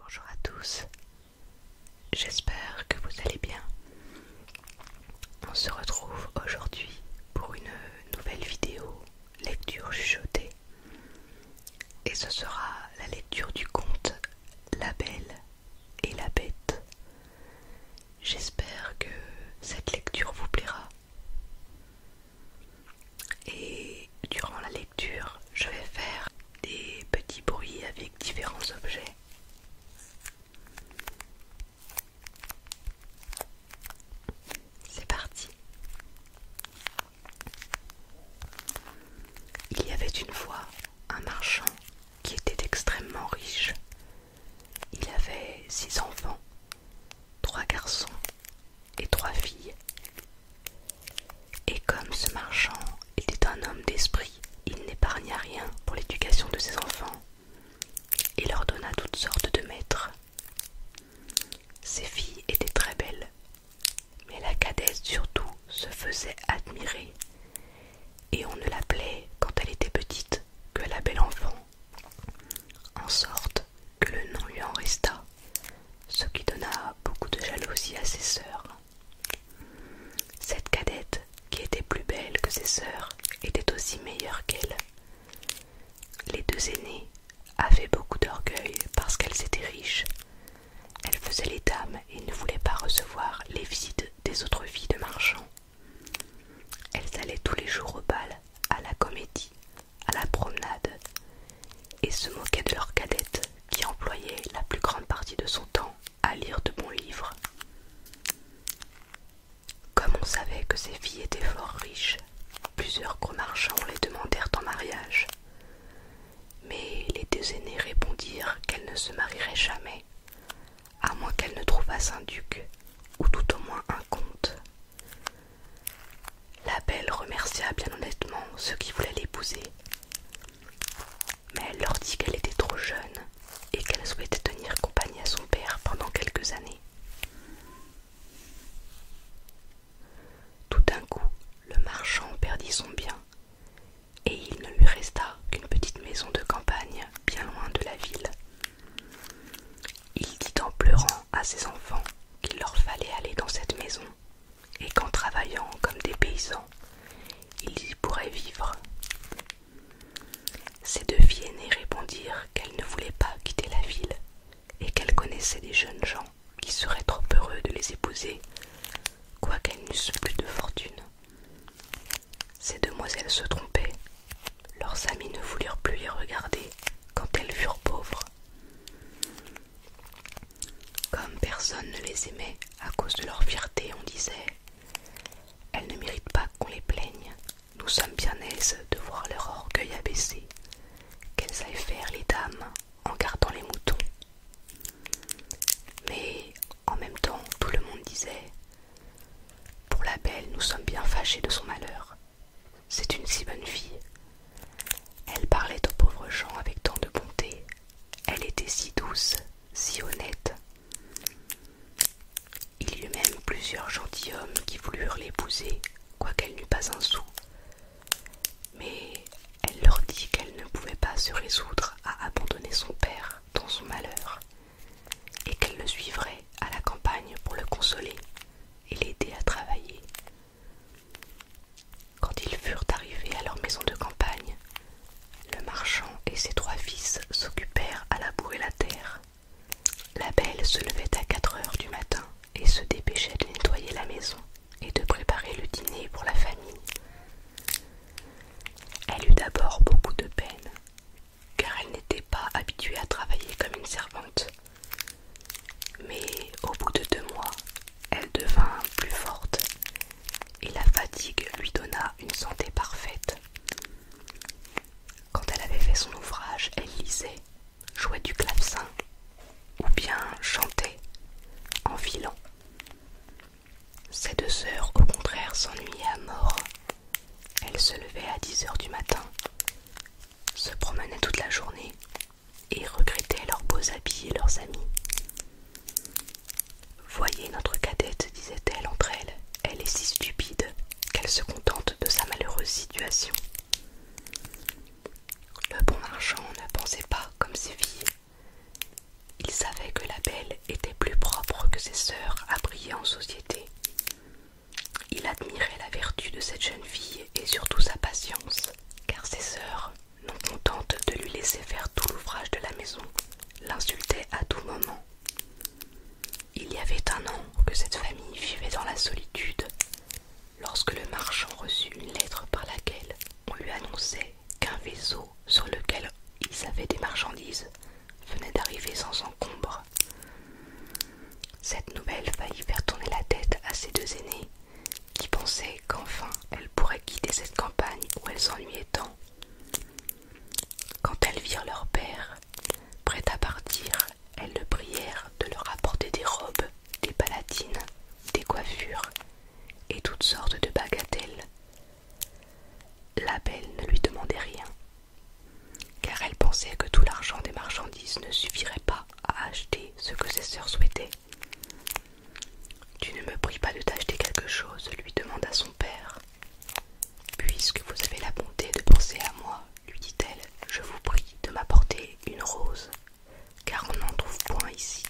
Bonjour à tous, j'espère que vous allez bien. On se retrouve aujourd'hui pour une nouvelle vidéo lecture chuchotée et ce sera la lecture du conte La Belle et la Bête. J'espère que cette lecture vous plaira. Et durant la lecture, je vais faire des petits bruits avec différents objets. C'est parti. Il y avait une fois un marchand qui était extrêmement riche. Il avait six enfants, trois garçons et trois filles, et comme ce marchand était un homme d'esprit, il n'épargna rien pour l'éducation de ses enfants et leur donna toutes sortes de maîtres. Ses filles étaient très belles, mais la cadette surtout se faisait admirer, et on ne l'appelait quand elle était petite que la belle enfant, en sorte que le nom lui en resta, ce qui donna beaucoup de jalousie à ses sœurs. Cette cadette, qui était plus belle que ses sœurs, était aussi meilleure qu'elle. Les deux aînées avaient beaucoup d'orgueil parce qu'elles étaient riches. Elles faisaient les dames et ne voulaient pas recevoir les visites des autres filles de marchands. Elles allaient tous les jours au bal, à la comédie, à la promenade, et se moquaient de leur cadette qui employait la plus grande partie de son temps à lire de bons livres. Comme on savait que ces filles étaient fort riches, plusieurs gros marchands les demandèrent en mariage. Mais les deux aînées répondirent qu'elles ne se marieraient jamais, à moins qu'elles ne trouvassent un duc ou tout au moins un comte. La belle remercia bien honnêtement ceux qui voulaient l'épouser mais elle leur dit qu'elle était trop jeune et qu'elle souhaitait tenir compagnie à son père pendant quelques années. Tout d'un coup, le marchand perdit son bien et il ne lui resta qu'une petite maison de campagne bien loin de la ville. Il dit en pleurant à ses enfants qu'il leur fallait aller dans cette maison et qu'en travaillant comme des paysans, ils y pourraient vivre. Ces deux filles aînées répondirent qu'elles ne voulaient pas quitter la ville et qu'elles connaissaient des jeunes gens qui seraient trop heureux de les épouser, quoiqu'elles n'eussent plus de fortune. Ces demoiselles se trompaient, leurs amis ne voulurent plus les regarder quand elles furent pauvres. Comme personne ne les aimait à cause de leur fierté, on disait Elles ne méritent pas qu'on les plaigne, nous sommes bien aises de voir leur orgueil abaissé, qu'elles aillent faire les dames en gardant les moutons. Mais en même temps, tout le monde disait Pour la belle, nous sommes bien fâchés de son malheur. C'est une si bonne fille. Elle parlait aux pauvres gens avec tant de bonté, elle était si douce, si honnête. Il y eut même plusieurs gentilshommes qui voulurent l'épouser, quoiqu'elle n'eût pas un sou. Mais elle leur dit qu'elle ne pouvait pas se résoudre à abandonner son père dans son malheur, et qu'elle le suivrait à la campagne pour le consoler et l'aider à travailler, quand ils furent arrivés à leur maison de campagne, le marchand et ses trois fils s'occupèrent à labourer la terre. La belle se levait à quatre heures du matin et se dépêchait de nettoyer la maison et de préparer le dîner pour la famille. Elle eut d'abord beaucoup de peine, car elle n'était pas habituée à travailler comme une servante. Mais au bout de deux mois, elle devint plus forte et la fatigue lui donna une santé parfaite. Quand elle avait fait son ouvrage, elle lisait, jouait du clavecin ou bien chantait en filant. Ses deux sœurs, au contraire, s'ennuyaient à mort. Elle se levait à 10 heures du matin, se promenaient toute la journée et regrettaient leurs beaux habits et leurs amis. Voyez notre cadette, disait-elle entre elles, elle est si stupide qu'elle se contente de sa malheureuse situation. Le bon marchand ne pensait pas comme ses filles. Il savait que la belle était plus propre que ses sœurs à briller en société. Il admirait la vertu de cette jeune fille et surtout sa patience, car ses sœurs non contente de lui laisser faire tout l'ouvrage de la maison, l'insultait à tout moment. Il y avait un an que cette famille vivait dans la solitude, lorsque le marchand reçut une lettre par laquelle on lui annonçait qu'un vaisseau sur lequel ils avaient des marchandises venait d'arriver sans encombre. Cette nouvelle faillit faire tourner la tête à ses deux aînés qui pensaient qu'enfin elles pourraient quitter cette campagne où elle s'ennuyait tant. Quand elles virent leur père, prêt à partir, elles le prièrent de leur apporter des robes, des palatines, des coiffures et toutes sortes de bagatelles. La belle ne lui demandait rien, car elle pensait que tout l'argent des marchandises ne suffirait pas à acheter ce que ses sœurs souhaitaient. Tu ne me pries pas de t'acheter quelque chose, lui demanda son père. Puisque vous avez la bonté de penser à moi, lui dit-elle, je vous prie de m'apporter une rose, car on n'en trouve point ici.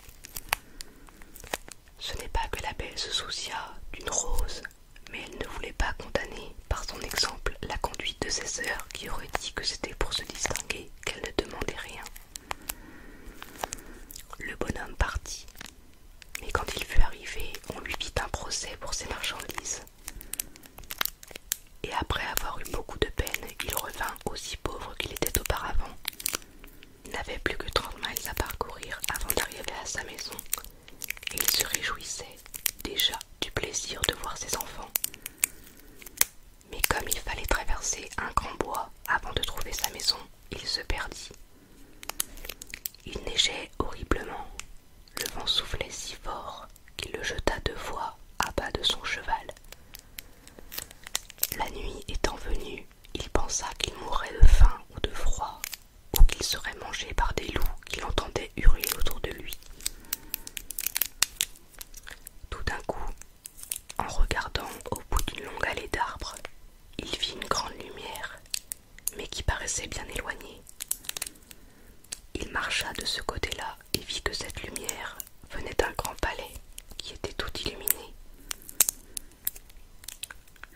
Ce n'est pas que la belle se souciât d'une rose, mais elle ne voulait pas condamner par son exemple la conduite de ses sœurs qui auraient dit que c'était pour se distinguer qu'elle ne demandait rien. Le bonhomme partit, mais quand il fut arrivé, on lui fit un procès pour ses marchandises. Et après avoir eu beaucoup de peine, il revint aussi pauvre qu'il était auparavant. Il n'avait plus que trente miles à parcourir avant d'arriver à sa maison, et il se réjouissait déjà du plaisir de voir ses enfants. Mais comme il fallait traverser un grand bois avant de trouver sa maison, il se perdit. Il neigeait horriblement. Le vent soufflait si fort qu'il le jeta deux fois à bas de son cheval. La nuit étant venue, il pensa qu'il mourrait de faim ou de froid, ou qu'il serait mangé par des loups qu'il entendait hurler autour de lui. Tout d'un coup, en regardant au bout d'une longue allée d'arbres, il vit une grande lumière, mais qui paraissait bien éloignée. Il marcha de ce côté-là et vit que cette lumière venait d'un grand palais qui était tout illuminé.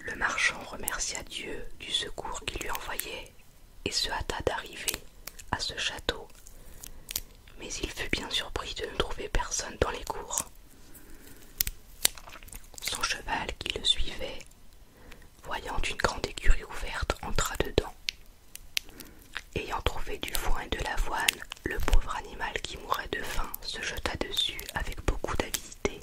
Le marchand remercia Dieu du secours qu'il lui envoyait et se hâta d'arriver à ce château mais il fut bien surpris de ne trouver personne dans les cours. Son cheval qui le suivait, voyant une grande écurie ouverte, entra dedans. Ayant trouvé du foin et de l'avoine, le pauvre animal qui mourait de faim se jeta dessus avec beaucoup d'avidité.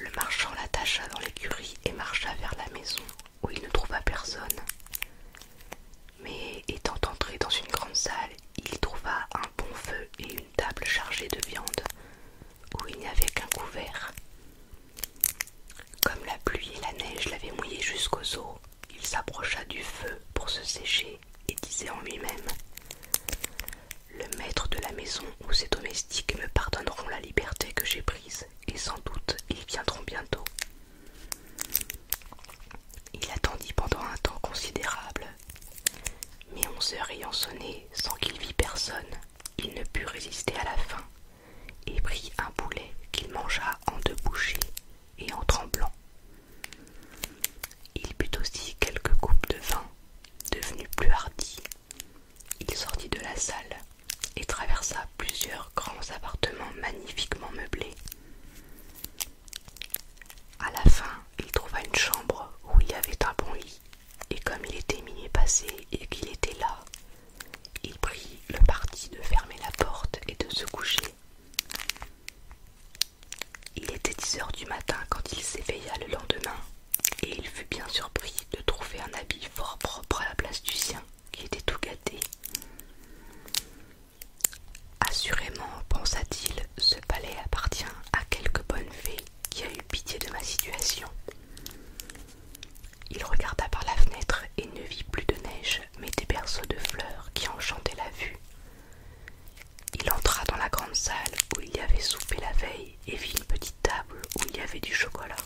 Le marchand l'attacha dans l'écurie et marcha vers la maison où il ne trouva personne. Mais étant entré dans une grande salle, il trouva un bon feu et une table chargée de viande, où il n'y avait qu'un couvert. Comme la pluie et la neige l'avaient mouillé jusqu'aux os, il s'approcha du feu pour se sécher et disait en lui-même Le maître de la maison ou ses domestiques me pardonneront la liberté que j'ai prise, et sans doute ils viendront bientôt. Il attendit pendant un temps considérable, mais onze heures ayant sonné sans qu'il vît personne, il ne put résister à la faim et prit un boulet qu'il mangea en deux bouchées et en tremblant. Il but aussi quelques coupes de vin, devenu plus hardi. Il sortit de la salle et traversa plusieurs grands appartements magnifiquement meublés. À la fin, il trouva une chambre où il y avait un bon lit, et comme il était minuit passé et qu'il était là, il prit le parti de fermer la porte et de se coucher. Il était dix heures du matin quand il s'éveilla le lendemain, et il fut bien surpris de trouver un habit fort propre à la place du sien, qui était tout gâté. Assurément, pensa-t-il, ce palais appartient à quelque bonne fée qui a eu pitié de ma situation. Il regarda par la fenêtre et ne vit plus de neige, mais des berceaux de fleurs qui enchantaient la vue. Il entra dans la grande salle où il y avait soupé la veille et vit une petite table où il y avait du chocolat.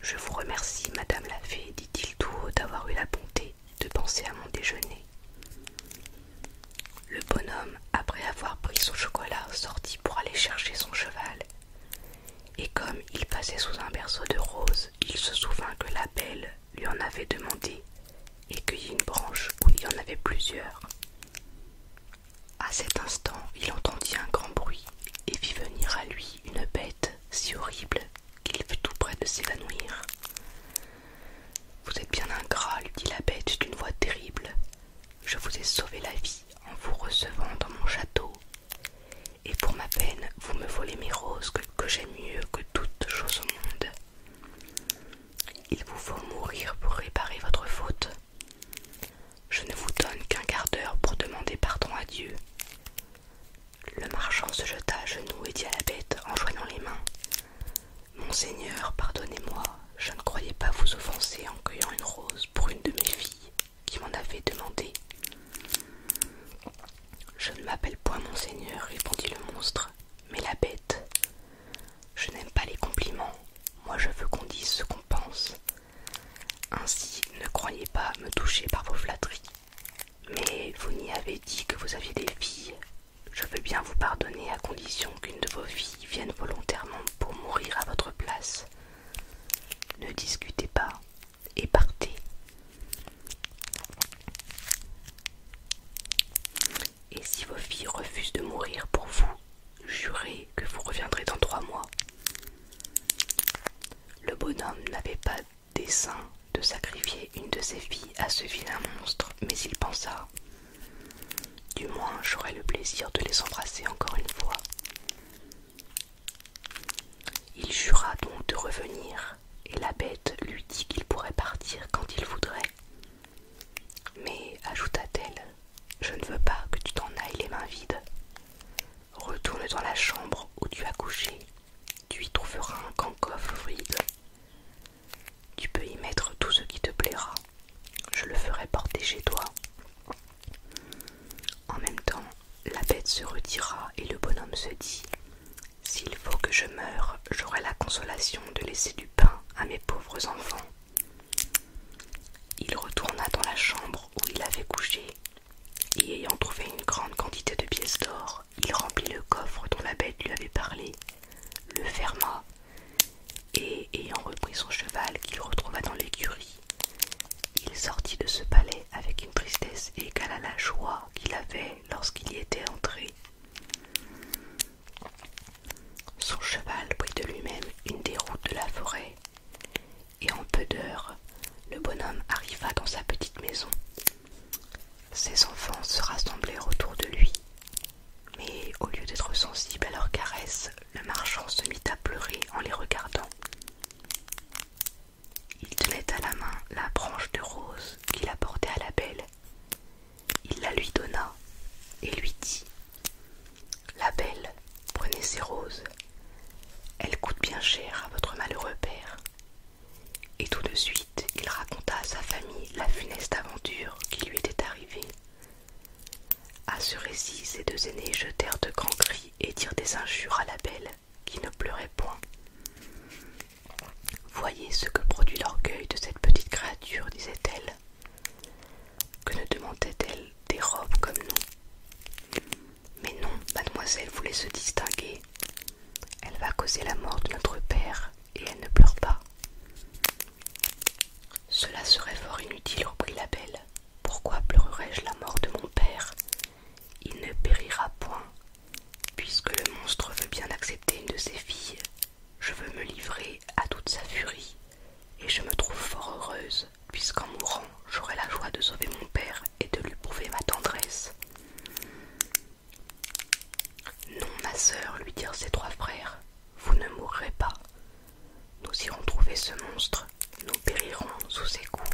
Je vous remercie, Madame la Fée, dit-il tout haut, d'avoir eu la bonté de penser à mon déjeuner. Le bonhomme, après avoir pris son chocolat, sortit pour aller chercher son cheval. Et comme il passait sous un berceau de roses, il se souvint que la belle lui en avait demandé et cueillit une branche où il y en avait plusieurs. À cet instant, il entendit un grand bruit et vit venir à lui une bête si horrible qu'il veut tout près de s'évanouir. Vous êtes bien ingrat, lui dit la bête d'une voix terrible. Je vous ai sauvé la vie en vous recevant dans mon château, et pour ma peine, vous me volez mes roses que, que j'aime mieux que toute chose au monde. Il vous faut mourir pour réparer votre faute. Je ne vous donne qu'un quart d'heure pour demander pardon à Dieu. Le marchand se jeta à genoux et dit à la bête en joignant les mains Monseigneur, pardonnez-moi, je ne croyais pas vous offenser en cueillant une rose pour une de mes filles qui m'en avait demandé. Je ne m'appelle point Monseigneur, répondit le monstre, mais la bête. Je n'aime pas les compliments, moi je veux qu'on dise ce qu'on pense. Ainsi, ne croyez pas me toucher par vos flatteries. Mais vous n'y avez dit que vous aviez des filles. Je veux bien vous pardonner à condition qu'une de vos filles vienne volontairement pour mourir à votre place. Ne discutez pas et partez. Et si vos filles refusent de mourir pour vous, jurez que vous reviendrez dans trois mois. Le bonhomme n'avait pas dessein de sacrifier une de ses filles à ce vilain monstre, mais il pensa Du moins, j'aurai le plaisir de les embrasser encore une fois. Il jura donc de revenir, et la bête lui dit qu'il pourrait partir quand il voudrait. Mais, ajouta-t-elle, je ne veux pas que tu t'en ailles les mains vides. Retourne dans la chambre où tu as couché tu y trouveras un coffre vide. Tu peux y mettre tout ce qui te plaira. Je le ferai porter chez toi. En même temps, la bête se retira et le bonhomme se dit S'il faut que je meure, j'aurai la consolation de laisser du pain à mes pauvres enfants. Il retourna dans la chambre où il avait couché et ayant trouvé une grande quantité de pièces d'or, il remplit le coffre dont la bête lui avait parlé, le ferma, et ayant repris son cheval qu'il retrouva dans l'écurie, il sortit de ce palais avec une tristesse égale à la joie qu'il avait lorsqu'il y était entré. Son cheval prit de lui-même une des routes de la forêt, et en peu d'heures, le bonhomme arriva dans sa petite maison ses enfants se rassemblèrent autour de lui, mais au lieu d'être sensible à leurs caresses, le marchand se mit à pleurer en les regardant. Il tenait à la main la branche de rose qu'il apportait à la belle. Il la lui donna et lui dit La belle, prenez ces roses. Elles coûtent bien cher à votre malheureux père. Et tout de suite, il raconta à sa famille la funeste aventure qui lui était arrivée. À ce récit, ses deux aînés jetèrent de grands cris et dirent des injures à la belle, qui ne pleurait point. Voyez ce que produit l'orgueil de cette petite créature, disait-elle. Que ne demandait-elle des robes comme nous Mais non, mademoiselle voulait se distinguer. Elle va causer la mort de notre père et elle ne pleure pas. Cela serait fort inutile, reprit la belle. Pourquoi pleurerais-je la mort de mon père Il ne périra point. Puisque le monstre veut bien accepter une de ses filles, je veux me livrer à toute sa furie, et je me trouve fort heureuse, puisqu'en mourant j'aurai la joie de sauver mon père et de lui prouver ma tendresse. Non, ma sœur, lui dirent ses trois frères, vous ne mourrez pas. Nous irons trouver ce monstre, nous périrons sous ses coups,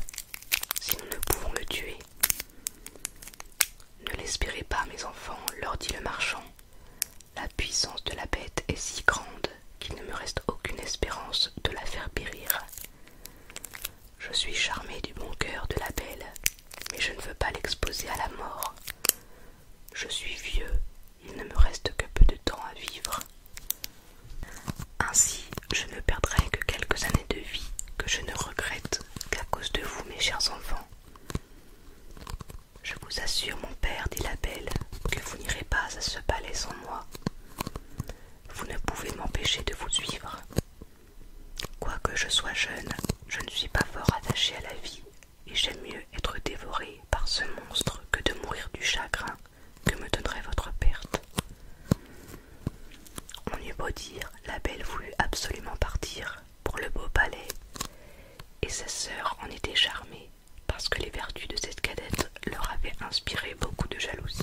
si nous ne pouvons le tuer. Ne l'espérez pas, mes enfants, leur dit le marchand. La puissance de la bête est si grande qu'il ne me reste aucune espérance de la faire périr. Je suis charmée du bon cœur de la belle, mais je ne veux pas l'exposer à la mort. Je suis vieux, il ne me reste que peu de temps à vivre. Ainsi, je ne perdrai que quelques années de vie que je ne regrette qu'à cause de vous, mes chers enfants. Je vous assure, mon père, dit la belle, que vous n'irez pas à ce palais sans moi. Vous ne pouvez m'empêcher de vous suivre. Quoique je sois jeune, je ne suis pas fort attachée à la vie, et j'aime mieux être dévorée par ce monstre que de mourir du chagrin que me donnerait votre perte. On eut beau dire, la belle voulut absolument partir pour le beau palais, et sa sœur en était charmée parce que les vertus de cette cadette leur avaient inspiré beaucoup de jalousie.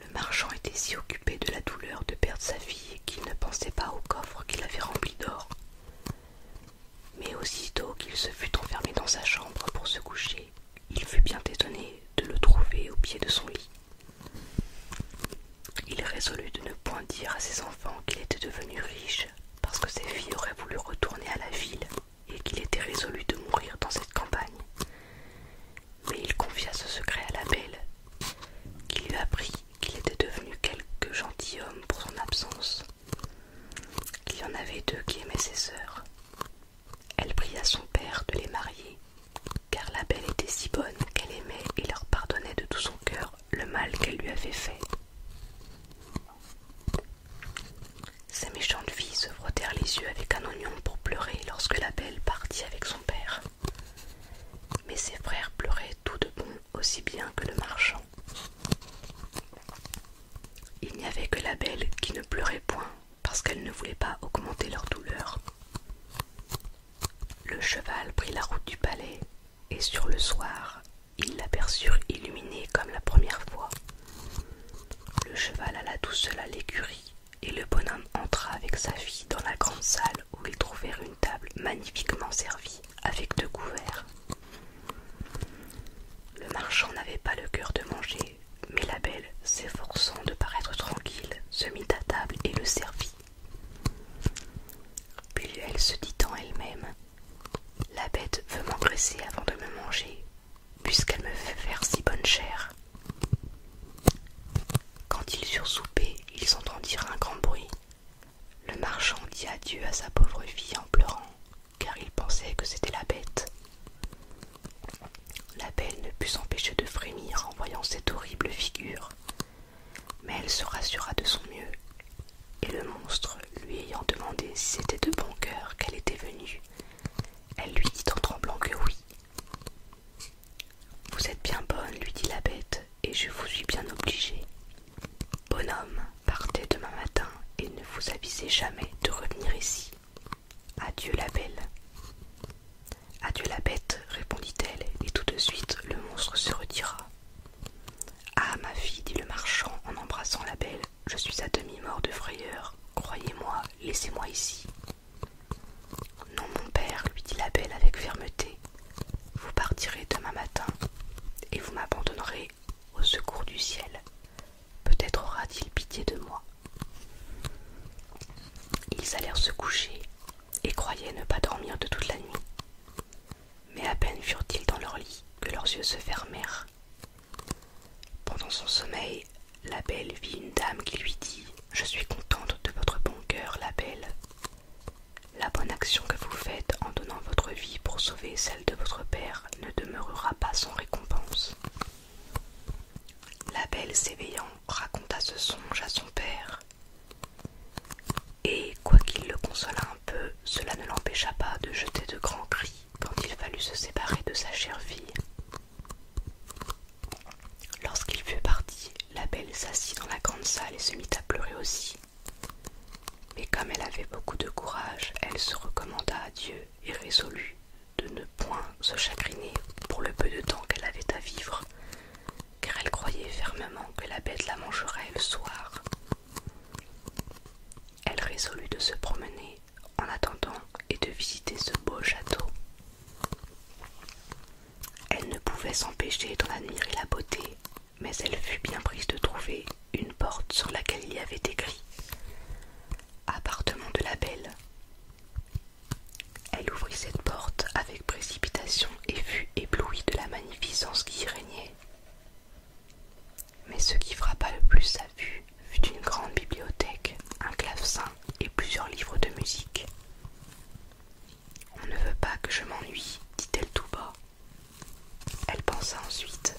Le marchand était si occupé de la douleur de perdre sa fille qu'il ne pensait pas au coffre qu'il avait rempli d'or. Mais aussitôt qu'il se fut enfermé dans sa chambre pour se coucher, il fut bien étonné de le trouver au pied de son lit. Il résolut de ne point dire à ses enfants qu'il était devenu riche parce que ses filles auraient voulu retourner à la ville et qu'il était résolu de mourir dans cette campagne mais il confia ce secret à la belle, qui lui apprit qu'il était devenu quelque gentilhomme pour son absence, qu'il y en avait deux qui aimaient ses sœurs. Elle pria son père de les marier, car la belle était si bonne qu'elle aimait et leur pardonnait de tout son cœur le mal qu'elle lui avait fait. Ces méchantes filles se frottèrent les yeux avec un oignon pour pleurer lorsque la belle partit avec son père. Mais ses frères pleuraient tout de bon aussi bien que le marchand. Il n'y avait que la belle qui ne pleurait point parce qu'elle ne voulait pas augmenter leur douleur. Le cheval prit la route du palais et sur le soir, ils l'aperçurent illuminée comme la première fois. Le cheval alla tout seul à l'écurie et le bonhomme entra avec sa fille dans la grande salle où ils trouvèrent une table magnifiquement servie avec deux couverts. Le marchand n'avait pas le cœur de manger, mais la belle, s'efforçant de paraître tranquille, se mit à table et le servit. Puis elle se dit en elle-même La bête veut m'engraisser avant de me manger, puisqu'elle me fait faire si bonne chère. » Quand ils eurent soupé, ils entendirent un grand bruit. Le marchand dit adieu à sa pauvre fille en pleurant, car il pensait que c'était la bête. La belle ne put s'empêcher de frémir en voyant cette horrible figure, mais elle se rassura de son mieux, et le monstre, lui ayant demandé si c'était de bon cœur qu'elle était venue, elle lui dit en tremblant que oui, vous êtes bien bonne, lui dit la bête, et je vous suis bien obligée. Bonhomme, partez demain matin et ne vous avisez jamais de revenir ici. Adieu la belle. Adieu la bête, répondit-elle, et tout de suite le monstre se retira. Ah, ma fille, dit le marchand en embrassant la belle, je suis à demi mort de frayeur. Croyez-moi, laissez-moi ici. Non, mon père, lui dit la belle avec fermeté, vous partirez demain matin et vous m'abandonnerez au secours du ciel. Peut-être aura-t-il pitié de moi. Ils allèrent se coucher et croyaient ne pas dormir de toute la nuit. Mais à peine furent-ils dans leur lit que leurs yeux se fermèrent. Pendant son sommeil, la belle vit une dame qui lui dit Je suis contente de votre bon cœur, la belle. La bonne action que vous faites en donnant votre vie pour sauver celle de votre père ne demeurera pas sans récompense. La belle s'éveillant raconta ce songe à son père. Et, quoiqu'il le consolât un peu, cela ne l'empêcha pas de jeter de grands cris quand il fallut se séparer de sa chère fille. Lorsqu'il fut parti, la belle s'assit dans la grande salle et se mit à pleurer aussi. Mais comme elle avait beaucoup de courage, elle se recommanda à Dieu et résolut de ne point se chagriner pour le peu de temps qu'elle avait à vivre, car elle croyait fermement que la bête la mangerait le soir. Elle résolut de se promener en attendant et de visiter ce beau château. Elle ne pouvait s'empêcher d'en admirer la beauté, mais elle fut bien prise de trouver une porte sur laquelle il y avait écrit Appartement de la Belle. Elle ouvrit cette porte avec précipitation et fut éblouie de la magnificence qui y régnait. Mais ce qui frappa le plus sa vue fut une grande bibliothèque, un clavecin et plusieurs livres de musique. On ne veut pas que je m'ennuie, dit-elle tout bas. Elle pensa ensuite.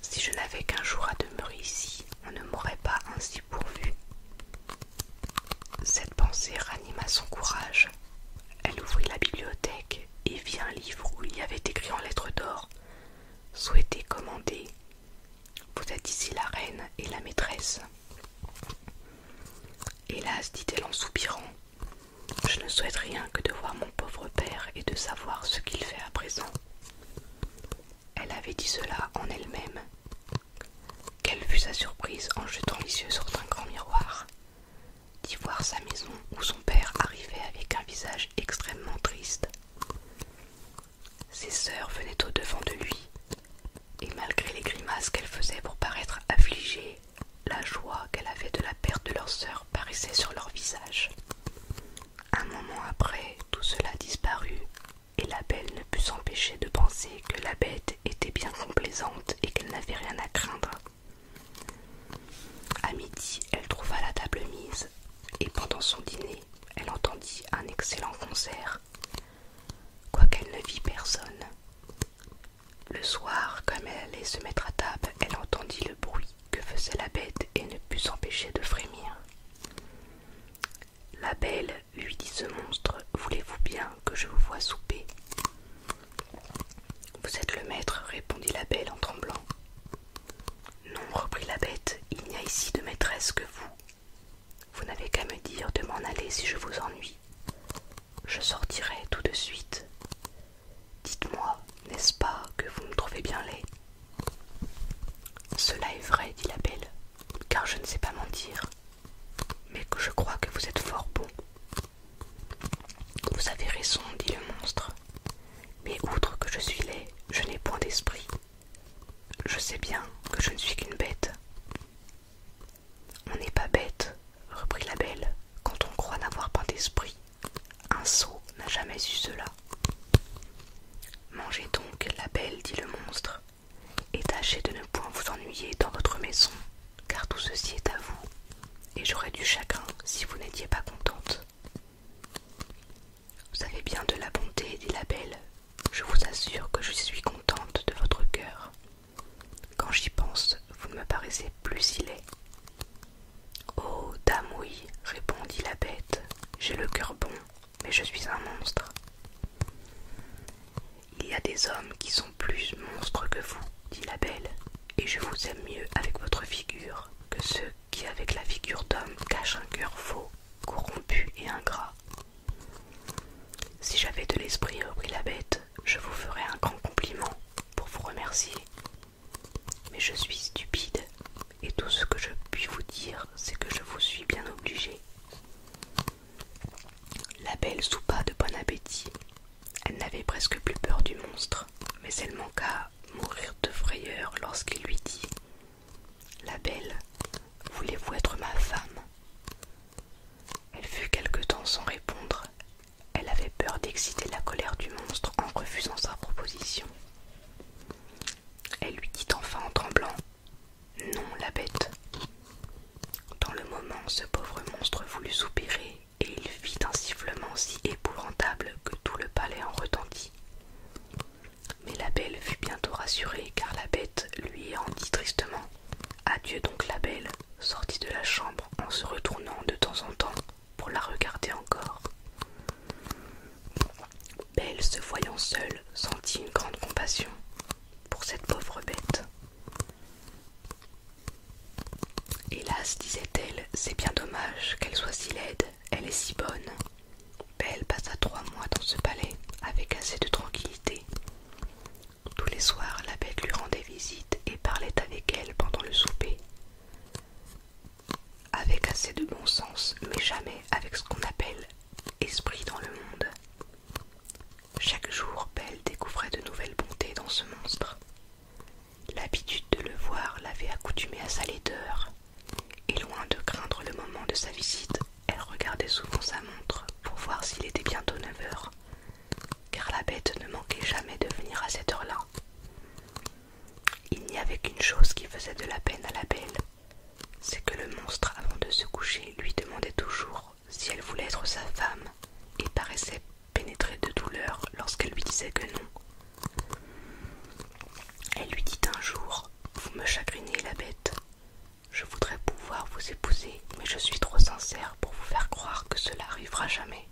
Si je n'avais qu'un jour à demeurer ici, on ne m'aurait pas ainsi pourvu. Cette pensée ranima son courage. Elle ouvrit la bibliothèque et vit un livre où il y avait écrit en lettres d'or souhaiter, commander vous êtes ici la reine et la maîtresse. Hélas, dit-elle en soupirant, je ne souhaite rien que de voir mon pauvre père et de savoir ce qu'il fait à présent. Elle avait dit cela en elle-même. Quelle fut sa surprise en jetant les yeux sur un grand miroir, d'y voir sa maison où son père arrivait avec un visage extrêmement triste. Ses sœurs venaient au-devant de lui, et malgré les grimaces qu'elles faisaient pour paraître affligées, la joie qu'elle avait de la perte de leur sœur paraissait sur leur visage. Un moment après, tout cela disparut, et la belle ne put s'empêcher de penser que la bête était bien complaisante et qu'elle n'avait rien à craindre. À midi, elle trouva la table mise, et pendant son dîner, elle entendit un excellent concert quoiqu'elle ne vit personne. Le soir, comme elle allait se mettre à table, elle entendit le bruit que faisait la bête et ne put s'empêcher de frémir. La belle lui dit ce monstre, voulez-vous bien que je vous voie souper Vous êtes le maître, répondit la belle en tremblant. Non, reprit la bête, il n'y a ici de maîtresse que vous, vous n'avez qu'à me dire de m'en aller si je vous ennuie. Je sortirai tout de suite. Dites-moi, n'est-ce pas, que vous me trouvez bien laid Cela est vrai, dit la belle, car je ne sais pas mentir, mais que je crois que vous êtes fort bon. Vous avez raison, dit le monstre, mais outre que je suis laid, je n'ai point d'esprit. Je sais bien que je ne suis qu'une bête. On n'est pas bête, reprit la belle, quand on croit n'avoir pas d'esprit. Un sot n'a jamais eu cela. Mangez donc, la belle, dit le monstre, et tâchez de ne point vous ennuyer dans votre maison, car tout ceci est à vous, et j'aurais du chagrin si vous n'étiez pas contente. Vous savez bien de la bonté, dit la belle, je vous assure que je suis contente de votre cœur. Quand j'y pense, vous ne me paraissez plus si Oh, dame, oui, répondit la bête, j'ai le cœur bon, mais je suis un monstre. Il y a des hommes qui sont plus monstres que vous, dit la belle, et je vous aime mieux avec votre figure que ceux qui, avec la figure d'homme, cachent un cœur faux, corrompu et ingrat. Si j'avais de l'esprit, reprit la bête, je vous ferais un grand compliment pour vous remercier. Mais je suis stupide, et tout ce que je puis vous dire, c'est que je vous suis bien obligé. La belle soupa de bon appétit. Elle n'avait presque plus peur du monstre, mais elle manqua mourir de frayeur lorsqu'il lui dit la belle, voulez-vous être ma femme Elle fut quelque temps sans répondre. Elle avait peur d'exciter la colère du monstre en refusant sa proposition. Elle lui dit enfin en tremblant Non, la bête. Dans le moment, ce pauvre monstre voulut soupirer et il fit un sifflement si épouvantable que tout le palais en retentit. Mais la belle fut bientôt rassurée car la bête lui en dit tristement Adieu donc la belle, sortit de la chambre en se retournant de temps en temps pour la regarder encore. Belle, se voyant seule, sentit une grande compassion pour cette pauvre bête. Hélas, disait-elle, c'est bien dommage qu'elle soit si laide, elle est si bonne. Belle passa trois mois dans ce palais avec assez de tranquillité. Tous les soirs, la bête lui rendait visite et parlait avec elle pendant le souper. Avec assez de bon sens, mais jamais avec ce qu'on appelle esprit dans le monde. Chaque jour, Belle découvrait de nouvelles bontés dans ce monstre. L'habitude de le voir l'avait accoutumée à sa laideur, et loin de craindre le moment de sa visite, elle regardait souvent sa montre pour voir s'il était bientôt 9 heures, car la bête ne manquait jamais de venir à cette heure-là. Il n'y avait qu'une chose qui faisait de la peine à la belle, c'est que le monstre, avant de se coucher, lui demandait toujours si elle voulait être sa femme et paraissait pénétrée de douleur lorsqu'elle lui disait que non. Elle lui dit un jour Vous me chagrinez, la bête. Je voudrais pouvoir vous épouser, mais je suis trop sincère pour vous faire croire que cela arrivera jamais.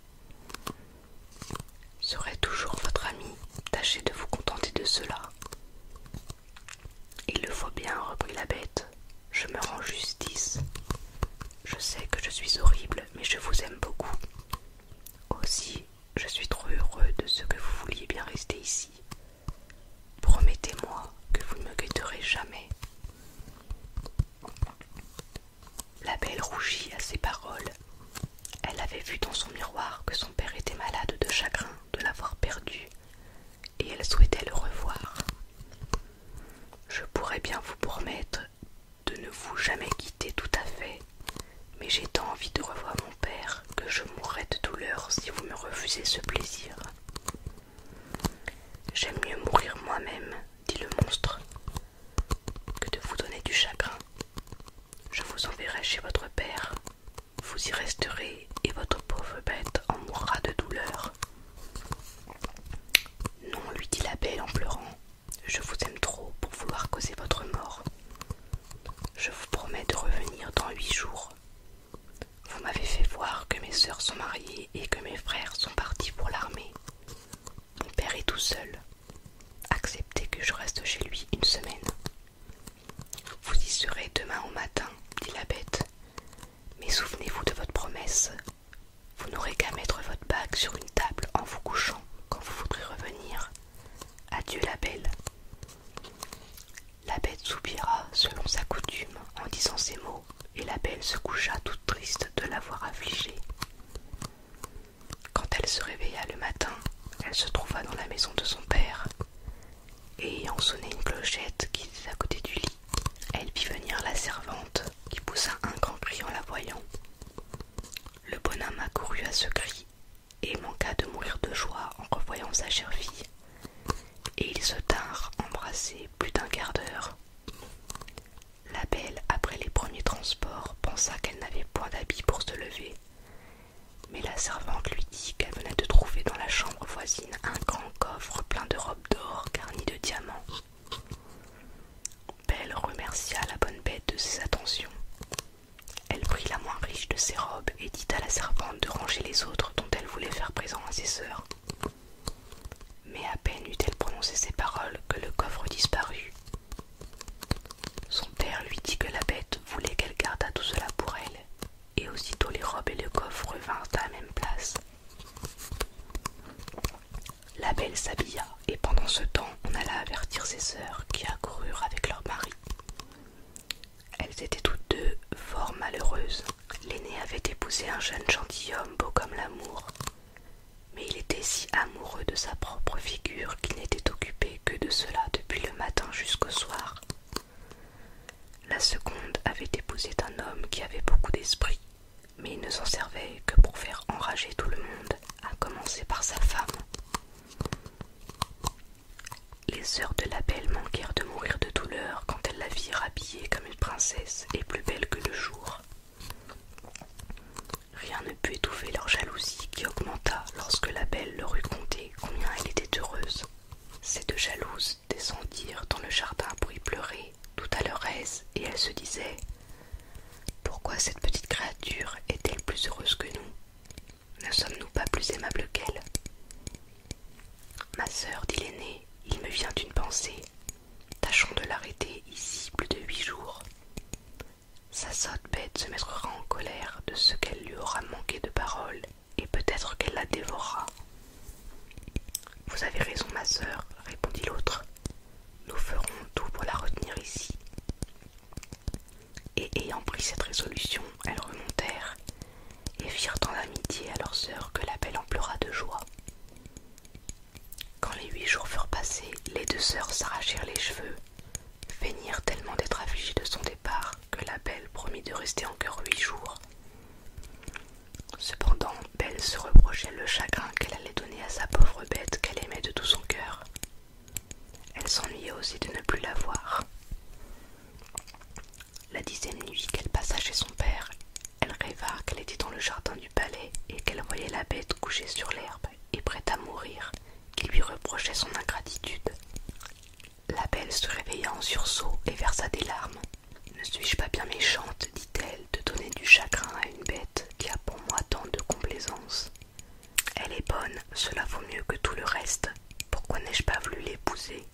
Serai toujours votre ami, tâchez de vous contenter de cela. Il le faut bien, reprit la bête. Je me rends justice. Je sais que je suis horrible, mais je vous aime beaucoup. Aussi, je suis trop heureux de ce que vous vouliez bien rester ici. Promettez-moi que vous ne me guetterez jamais. La belle rougit à ces paroles. Elle avait vu dans son miroir que son père était malade de chagrin de l'avoir perdu, et elle souhaitait le revoir. Je pourrais bien vous promettre de ne vous jamais quitter tout à fait, mais j'ai tant envie de revoir mon père que je mourrais de douleur si vous me refusez ce plaisir. J'aime mieux mourir moi-même, dit le monstre, que de vous donner du chagrin. Je vous enverrai chez votre père, vous y resterez et votre pauvre bête en mourra de douleur. Non, lui dit la belle en pleurant, je vous aime trop pour vouloir causer votre mort. Je vous promets de revenir dans huit jours. Vous m'avez fait voir que mes sœurs sont mariées et que mes frères sont partis pour l'armée. Mon père est tout seul. Acceptez que je reste chez lui une semaine. Vous y serez demain au matin, dit la bête. Mais souvenez-vous de votre promesse. Vous n'aurez qu'à mettre votre bague sur une table en vous couchant quand vous voudrez revenir. Adieu la belle. La bête soupira selon sa coutume en disant ces mots, et la belle se coucha toute triste de l'avoir affligée. Quand elle se réveilla le matin, elle se trouva dans la maison de son père, et ayant sonné une clochette qui était à côté du lit, elle vit venir la servante, qui poussa un grand cri en la voyant. Le bonhomme accourut à ce cri et manqua de mourir de joie en revoyant sa chère fille et ils se tinrent embrassés plus d'un quart d'heure. La belle, après les premiers transports, pensa qu'elle n'avait point d'habits pour se lever, mais la servante lui dit qu'elle venait de trouver dans la chambre voisine un grand coffre plein de robes d'or garnies de diamants. Belle remercia la bonne bête de ses attentions. Elle prit la moins riche de ses robes et dit à la servante de ranger les autres dont elle voulait faire présent à ses sœurs. Mais à peine eut-elle prononcé ces paroles que le coffre disparut. Son père lui dit que la bête voulait qu'elle gardât tout cela pour elle, et aussitôt les robes et le coffre revinrent à la même place. La belle s'habilla, et pendant ce temps on alla avertir ses sœurs qui accoururent avec leur mari. Elles étaient toutes deux fort malheureuses. L'aînée avait épousé un jeune gentilhomme beau comme l'amour, mais il était si amoureux de sa propre figure qu'il n'était occupé que de cela depuis le matin jusqu'au soir. La seconde avait épousé un homme qui avait beaucoup d'esprit, mais il ne s'en servait que pour faire enrager tout le monde, à commencer par sa femme. Les sœurs de la belle manquèrent de mourir de douleur quand elles la virent habillée comme une princesse et plus belle que le jour. Rien ne put étouffer leur jalousie qui augmenta lorsque la belle leur eut conté combien elle était heureuse. Ces deux jalouses descendirent dans le jardin pour y pleurer, tout à leur aise, et elles se disaient Pourquoi cette petite créature est-elle plus heureuse que nous Ne sommes-nous pas plus aimables qu'elle Ma sœur, dit l'aînée, il me vient une pensée. Tâchons de l'arrêter ici plus de huit jours. Sa sotte bête se mettra en colère de ce qu'elle lui aura manqué de parole, et peut-être qu'elle la dévorera. Vous avez raison, ma sœur, répondit l'autre. Nous ferons tout pour la retenir ici. Et ayant pris cette résolution, elles remontèrent et firent en amitié à leur sœur que la belle en pleura de joie. Quand les huit jours furent passés, les deux sœurs s'arrachèrent les cheveux, feignirent tellement d'être affligées de son départ que la belle promit de rester encore huit jours. Cependant, Belle se reprochait le chagrin qu'elle allait donner à sa pauvre bête qu'elle aimait de tout son cœur. Elle s'ennuyait aussi de ne plus la voir. La dixième nuit qu'elle passa chez son père, elle rêva qu'elle était dans le jardin du palais et qu'elle voyait la bête couchée sur l'herbe et prête à mourir, qui lui reprochait son ingratitude. La belle se réveilla en sursaut et versa des larmes. Ne suis-je pas bien méchante, dit-elle, de donner du chagrin à une bête qui a pour moi tant de complaisance Elle est bonne, cela vaut mieux que tout le reste. Pourquoi n'ai-je pas voulu l'épouser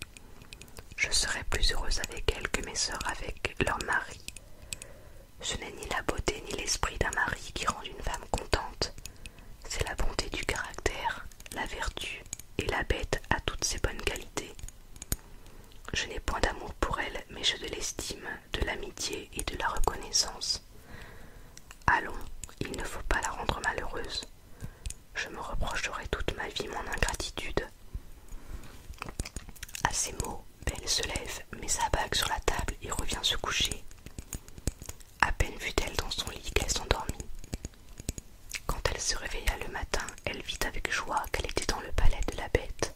je serai plus heureuse avec elle que mes sœurs avec leur mari. Ce n'est ni la beauté ni l'esprit d'un mari qui rendent une femme contente, c'est la bonté du caractère, la vertu et la bête à toutes ses bonnes qualités. Je n'ai point d'amour pour elle, mais je de l'estime, de l'amitié et de la reconnaissance. Allons, il ne faut pas la rendre malheureuse. Je me reprocherai toute ma vie mon ingratitude. À ces mots, Belle se lève, met sa bague sur la table et revient se coucher. À peine fut-elle dans son lit qu'elle s'endormit. Quand elle se réveilla le matin, elle vit avec joie qu'elle était dans le palais de la bête.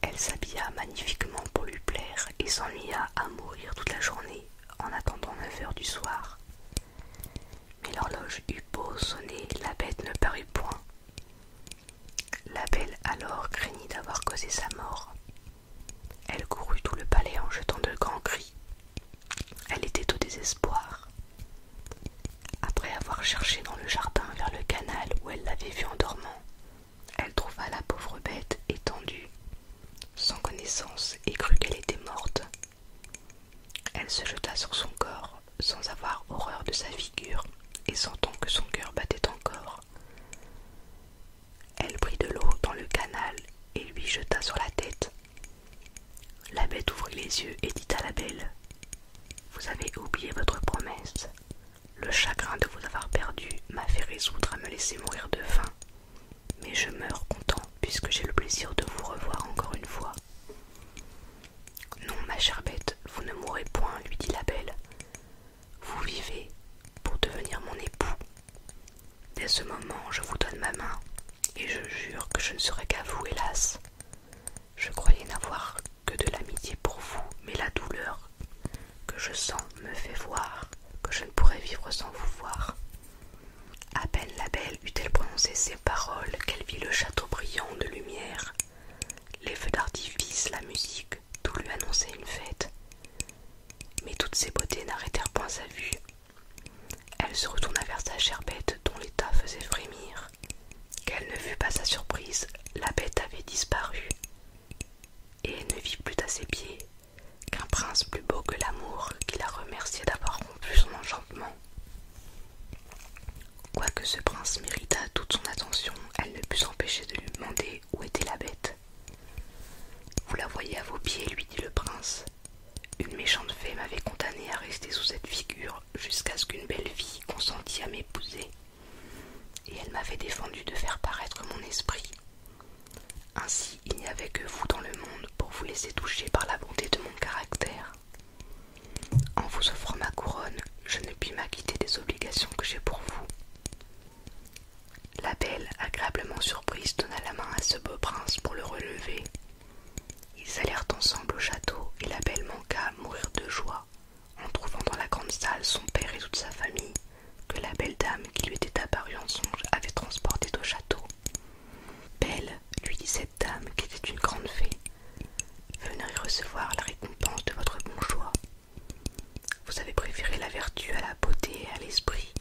Elle s'habilla magnifiquement pour lui plaire et s'ennuya à mourir toute la journée en attendant neuf heures du soir mais l'horloge eut beau sonner, la bête ne parut point. La belle alors craignit d'avoir causé sa mort. Elle courut tout le palais en jetant de grands cris. Elle était au désespoir. Après avoir cherché dans le jardin vers le canal où elle l'avait vue en dormant, elle trouva la pauvre bête étendue, sans connaissance, et crut qu'elle était morte. Elle se jeta sur son corps, sans avoir horreur de sa figure, et sentant que son cœur battait encore. Elle prit de l'eau dans le canal et lui jeta sur la tête. La bête ouvrit les yeux et dit à la belle Vous avez oublié votre promesse. Le chagrin de vous avoir perdu m'a fait résoudre à me laisser mourir de faim. Mais je meurs content puisque j'ai le plaisir de vous revoir encore une fois. Non, ma chère bête, vous ne mourrez point, lui dit la belle. Vous vivez pour devenir mon époux. Dès ce moment, je vous donne ma main, et je jure que je ne serai qu'à vous, hélas. Je croyais n'avoir que de l'amitié pour vous, mais la douleur que je sens me fait voir que je ne pourrai vivre sans vous voir. À peine la belle eut-elle prononcé ces paroles qu'elle vit le château brillant de lumière, les feux d'artifice, la musique, tout lui annonçait une fête. Mais toutes ces beautés n'arrêtèrent point sa vue. Elle se retourna vers sa chère bête dont l'état faisait frémir. Qu'elle ne fut pas sa surprise, la bête avait disparu. Et elle ne vit plus à ses pieds qu'un prince plus beau que l'amour qui la remerciait d'avoir rompu son enchantement. Quoique ce prince méritât toute son attention, elle ne put s'empêcher de lui demander où était la bête. Vous la voyez à vos pieds, lui dit le prince. Une méchante fée m'avait condamné à rester sous cette figure jusqu'à ce qu'une belle fille consentît à m'épouser, et elle m'avait défendu de faire paraître mon esprit. Ainsi, il n'y avait que vous dans le monde pour vous laisser toucher par la bonté de mon caractère. En vous offrant ma couronne, je ne puis m'acquitter des obligations que j'ai pour vous. La belle, agréablement surprise, donna la main à ce beau prince pour le relever. Ils allèrent ensemble au château et la belle manqua à mourir de joie en trouvant dans la grande salle son père et toute sa famille que la belle dame qui lui était apparue en songe avait transportée au château Belle, lui dit cette dame qui était une grande fée, venez recevoir la récompense de votre bon choix. Vous avez préféré la vertu à la beauté et à l'esprit.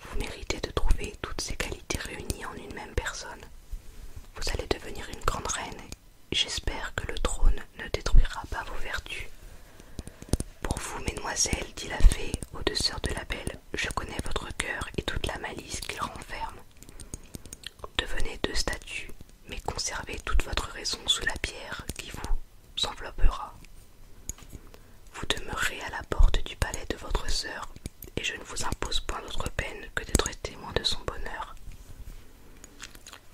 Vous méritez de trouver toutes ces qualités réunies en une même personne. Vous allez devenir une grande reine. J'espère que le trône ne détruira pas vos vertus. Pour vous, mesdemoiselles, dit la fée aux deux sœurs de la belle, je connais votre cœur et toute la malice qu'il renferme. Devenez deux statues, mais conservez toute votre raison sous la pierre qui vous enveloppera. Vous demeurez à la porte du palais de votre sœur, et je ne vous impose point d'autre peine que d'être témoin de son bonheur.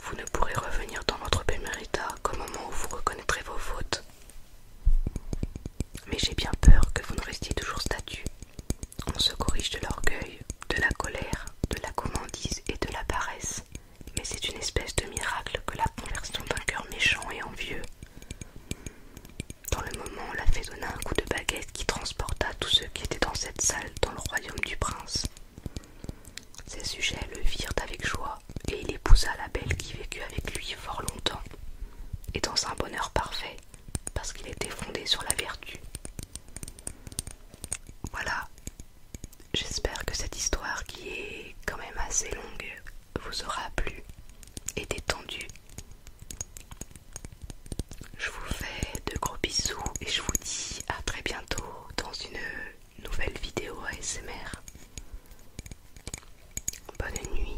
Vous ne pourrez revenir dans votre état qu'au moment où vous reconnaîtrez vos fautes. Mais j'ai bien peur que vous ne restiez toujours statue on se corrige de l'orgueil, de la colère, de la commandise et de la paresse, mais c'est une espèce de miracle que la conversion d'un cœur méchant et envieux. Dans le moment, la fée donna un coup de baguette qui transporta tous ceux qui étaient dans cette salle dans le royaume du prince. Ses sujets le virent avec joie, et il épousa la belle qui vécut avec lui fort longtemps. Et dans un bonheur parfait, parce qu'il était fondé sur la vertu. Voilà, j'espère que cette histoire qui est quand même assez longue vous aura plu et détendu. Je vous fais de gros bisous et je vous dis à très bientôt dans une nouvelle vidéo ASMR. Bonne nuit.